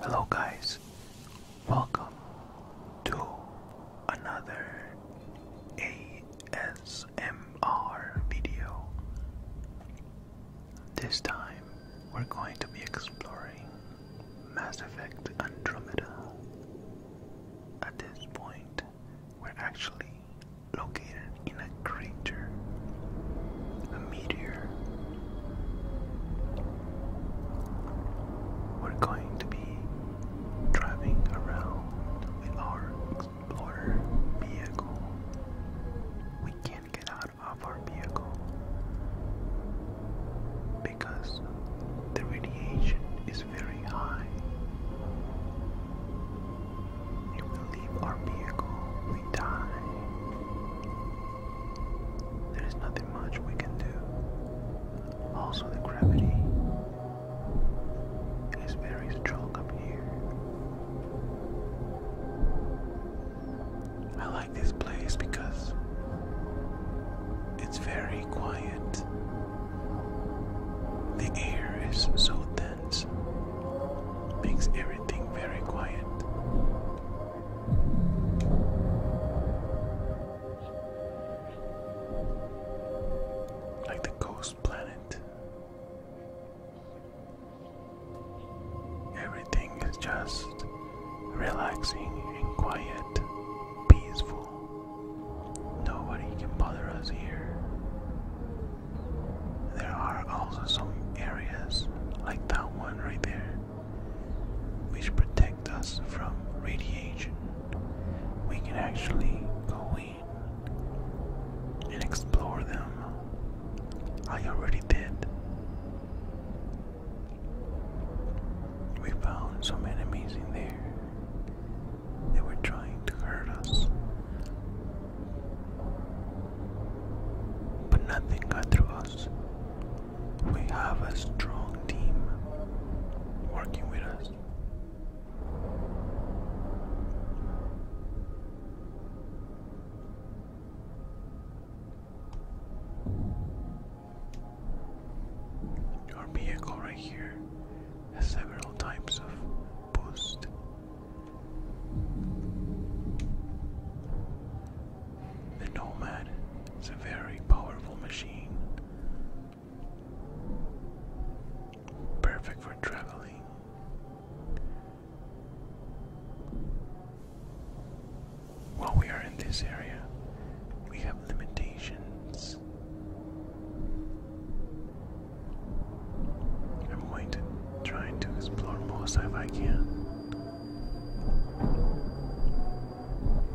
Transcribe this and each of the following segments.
Hello, guys, welcome to another ASMR video. This time we're going to be exploring Mass Effect Andromeda. At this point, we're actually located in a crazy a meteor. We're going to be driving around with our Explorer vehicle. We can't get out of our vehicle because the radiation is very high. If we leave our vehicle, we die. There's nothing much we can do. Also, the gravity is very strong up here. I like this place because it's very quiet. The air is so dense, makes everything very quiet. Like the ghost planet. Everything is just relaxing and quiet, peaceful. Nobody can bother us here. There are also some areas, like that one right there, which protect us from radiation. We can actually go in and explore them. I already did. We found some enemies in there. They were trying to hurt us, but nothing got through us. We have a strong team working with us. Your vehicle right here has several types of boost the Nomad is a very powerful machine, perfect for traveling. While we are in this area, we have limitations. I'm going to try to explore most if I can.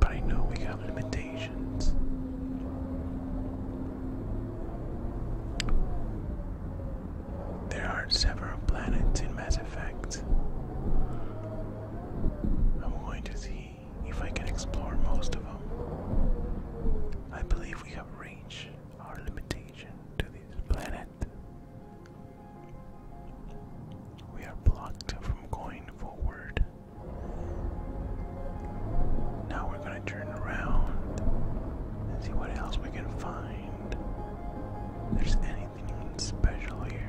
But I know we have limitations. There are several planets in Mass Effect. I'm going to see if I can explore most of them. I believe we have reached our limitation to this planet. We are blocked from going forward. Now we're going to turn around and see what else we can find. there's anything special here.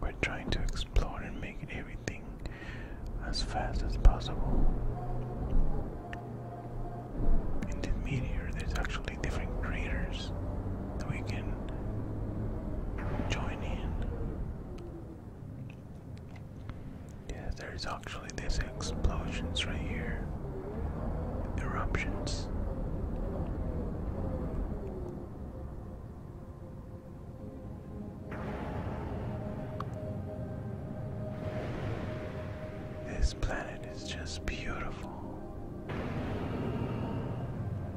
We're trying to explore and make everything as fast as possible. In the meteor, there's actually different craters that we can join in. Yeah, there's actually these explosions right here. Eruptions. This planet is just beautiful.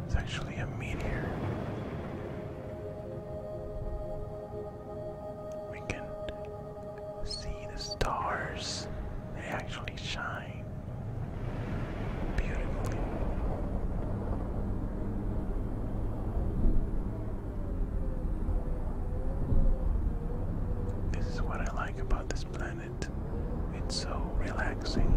It's actually a meteor. We can see the stars. They actually shine beautifully. This is what I like about this planet. It's so relaxing.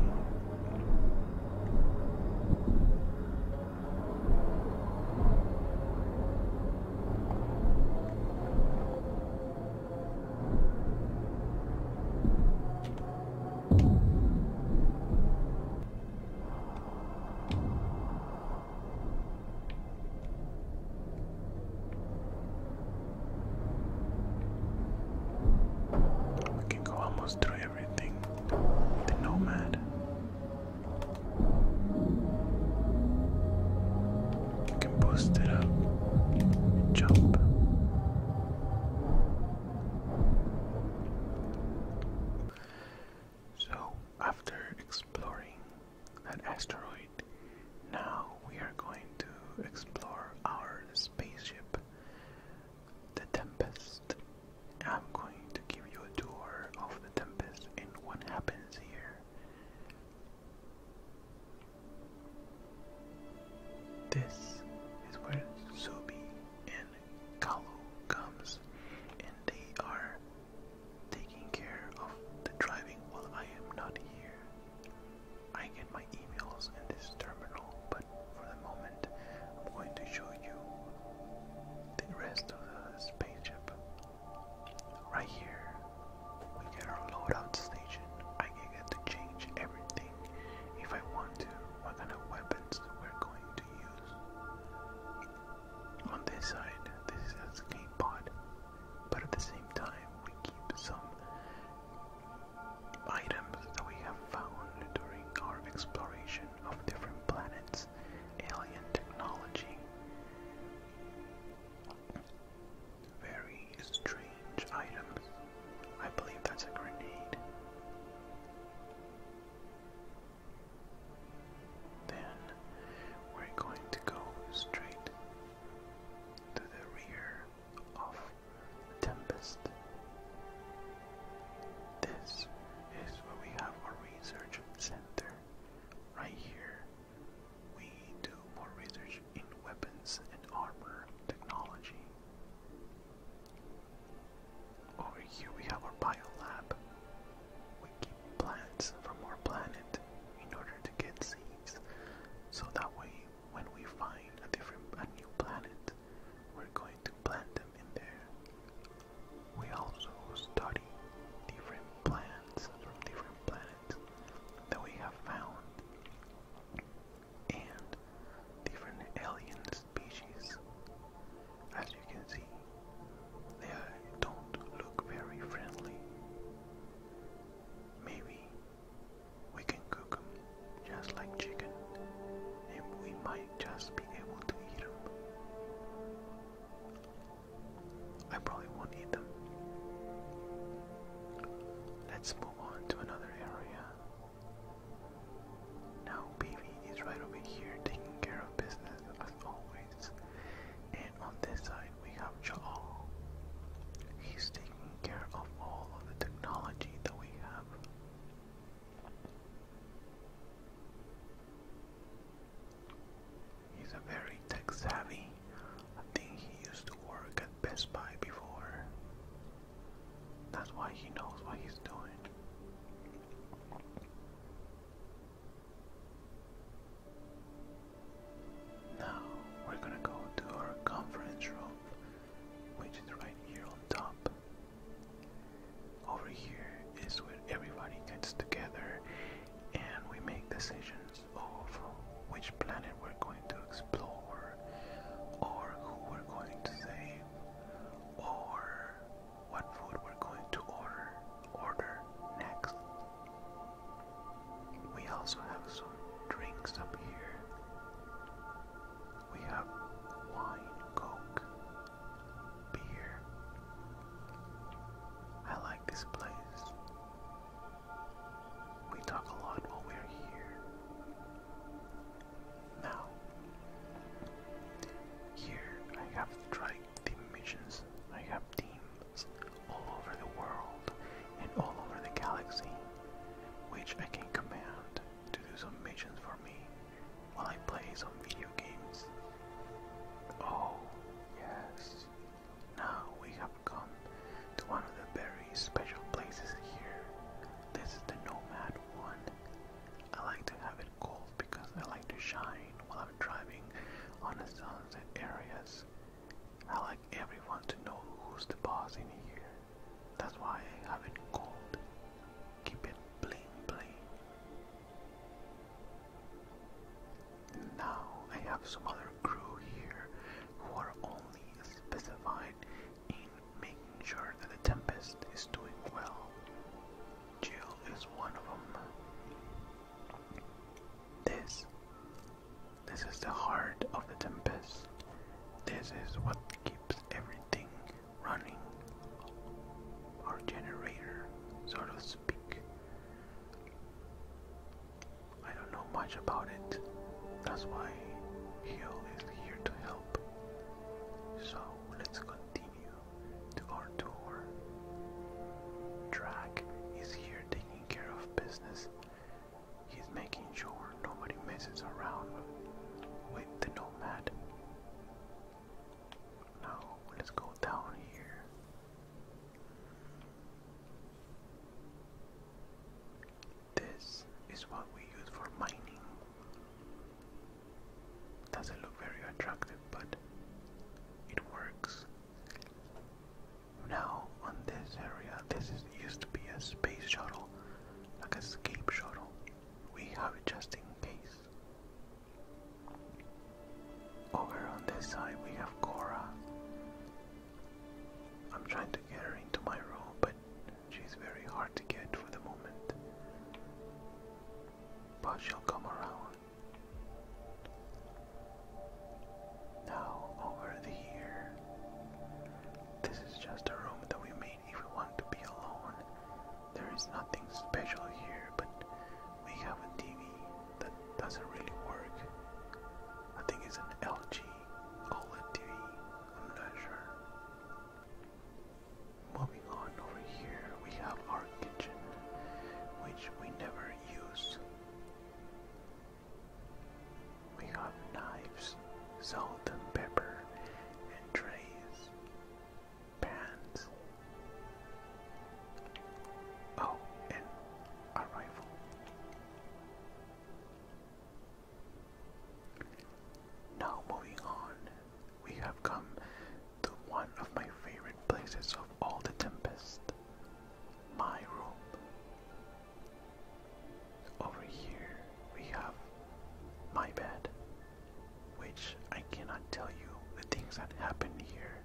We can go almost through everything. The Nomad. You can boost it up, jump. So, after exploring that asteroid, now we are going to explore our spaceship, the Tempest. I'm going to give you a tour of the Tempest and what happens this is where Subi and Kalo comes and they are taking care of the driving while I am not here. I get my emails in this terminal, but for the moment I'm going to show you the rest of the spaceship. Right here, we get our loadout station. I can get to change everything if I want to. What kind of weapons we're going to use. On this side, this is a escape pod, but at the same time, we keep some items that we have found during our exploration of different planets alien technology. Very strange items. I believe that's a grenade. Then we're going to go straight to the rear of Tempest. This is where we have our research center right here, we do more research in weapons and armor technology. Over here we have our biolab. We keep plants from our planet in order to get seeds. So that way when we find a different a new planet, we're going to plant them in there. We also study different plants from different planets that we have found and different alien species. As you can see, they don't look very friendly. Maybe we can cook them just like chicken and we might just be able to eat them. I probably won't eat them. Let's move on to another area. Now, Baby is right over here taking care of business as always. And on this side, we have Ja'al. He's taking care of all of the technology that we have. He's a very tech savvy. I think he used to work at Best Buy before. That's why he knows what he's doing. Now we're gonna go to our conference room, which is right here on top. Over here is where everybody gets together and we make decisions of which planet we're going to explore, or who we're going to save, or what food we're going to order order next. We also have some drinks up here. We have wine, coke, beer. I like this place. We talk a lot while we're here. Now, here I have tried the missions. I have teams all over the world and all over the galaxy, which I can command to do some missions for me while I play some video games. Oh, yes. Now we have come to one of the very special places here. This is the Nomad one. I like to have it cold because I like to shine while I'm driving on the sunset areas. I like everyone to know who's the boss in here. That's why I have it cold. Keep it bling bling. Now I have some other crew here who are only specified in making sure that the Tempest is doing well. Jill is one of them. This, this is the heart of the Tempest. This is what keeps everything running our generator, so to speak. I don't know much about it. That's why Hill is here to help. So let's continue to our tour. Drag is here taking care of business. He's making sure nobody messes around with the nomad. No, let's go down here. This is what we use for mining. Doesn't look very attractive, but it works. Now, on this area, this is, used to be a space shuttle, like a escape shuttle. We have it just in case. Over on this side we have Cora. I'm trying to get her into my room, but she's very hard to get for the moment. But she'll come around. Now over here. This is just a room that we made if we want to be alone. There is nothing special here, but we have a TV that doesn't really work. I think it's an LG OLED TV, I'm not sure. Moving on over here, we have our kitchen, which we never use. We have knives, salt and pepper, and trays pants. Oh, and a rifle. Now moving on, we have come to one of my favorite places of all the Tempest, my room. Over here we have my bed which I cannot tell you the things that happen here,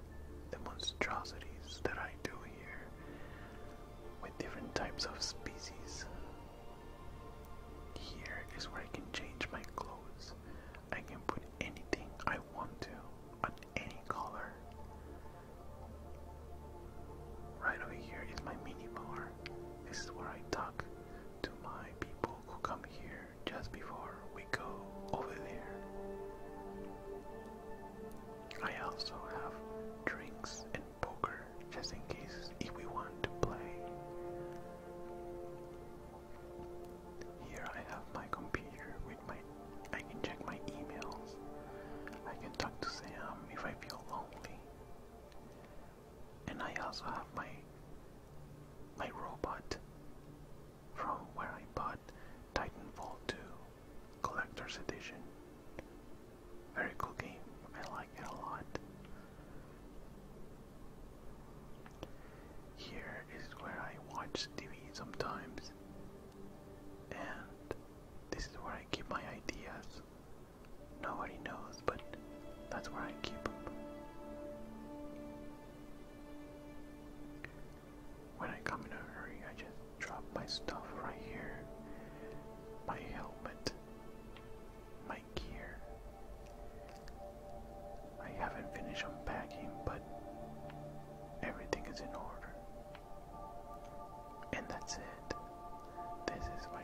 the monstrosities that I do here with different types of species. Here is where I can change my clothes. I can put anything I want to on any color. Right over here is my minibar. This is where I talk to my people who come here just before we go over there. I also have drinks and poker just in case if we want to play. Here I have my computer with my I can check my emails. I can talk to Sam if I feel lonely and I also have my my robot from where I bought Titanfall 2 Collector's Edition. Very cool game. I like it a lot. Here is where I watch TV sometimes, and this is where I keep my ideas. Nobody knows but that's where I keep them. When I come in a hurry, I just drop my stuff right here. My helmet, my gear. I haven't finished unpacking, but everything is in order. And that's it. This is my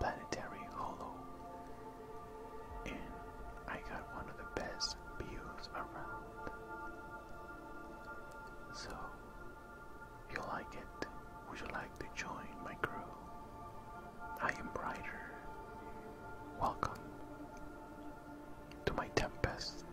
planetary hollow and I got one of the best views around. So, you like it, would you like to join my crew? I am Brighter. Welcome to my Tempest.